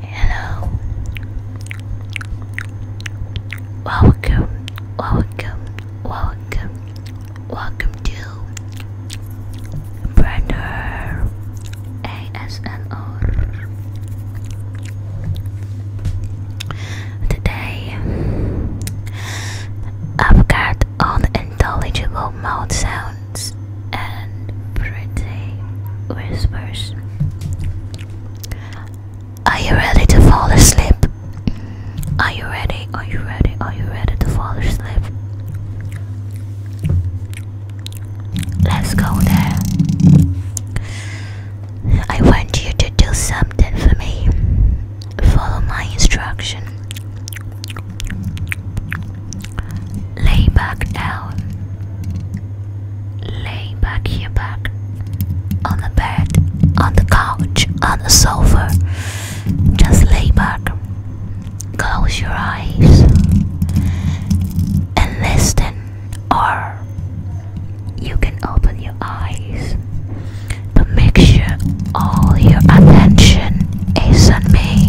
Hello. Welcome, welcome, welcome, welcome to Brander ASMR. Today, I've got unintelligible mouth sounds and pretty whispers. Are you ready to fall asleep? Are you ready? Are you ready? Are you ready to fall asleep? Let's go there. I want you to do something for me. Follow my instruction. Lay back down. Lay back here back. On the bed, on the couch, on the sofa. Just lay back. Close your eyes and listen or you can open your eyes. But make sure all your attention is on me.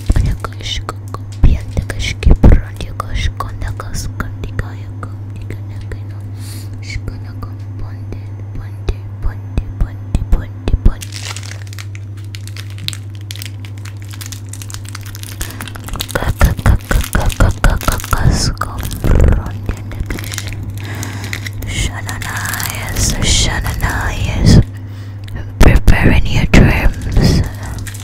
Shut Preparing your dreams.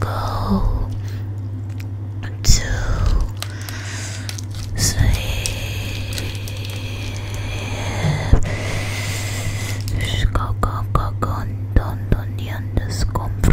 Go to sleep. Go, go, go, go. Don't, don't, don't, just go. Go,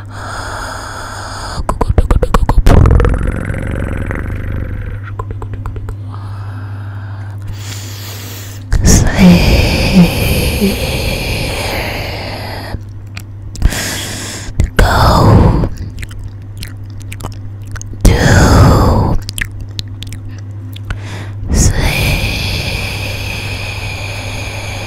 Sleep. Go to sleep.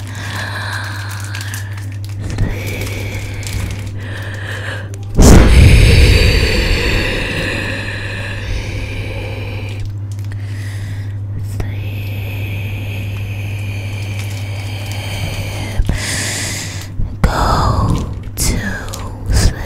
Sleep. Sleep. Go to sleep.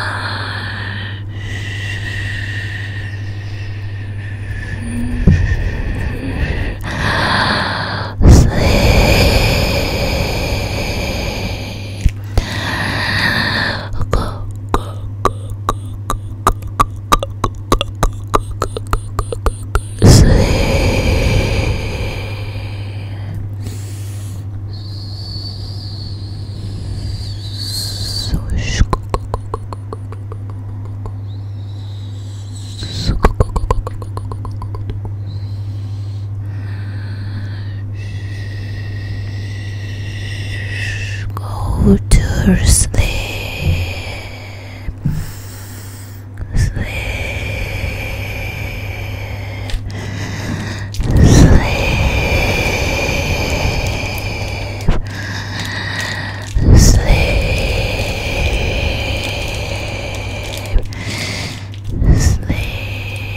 Sleep. Go, go, go, go, go, go, go, go, go, go, Go to sleep. Sleep sleep, sleep, sleep.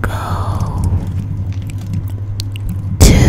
Go to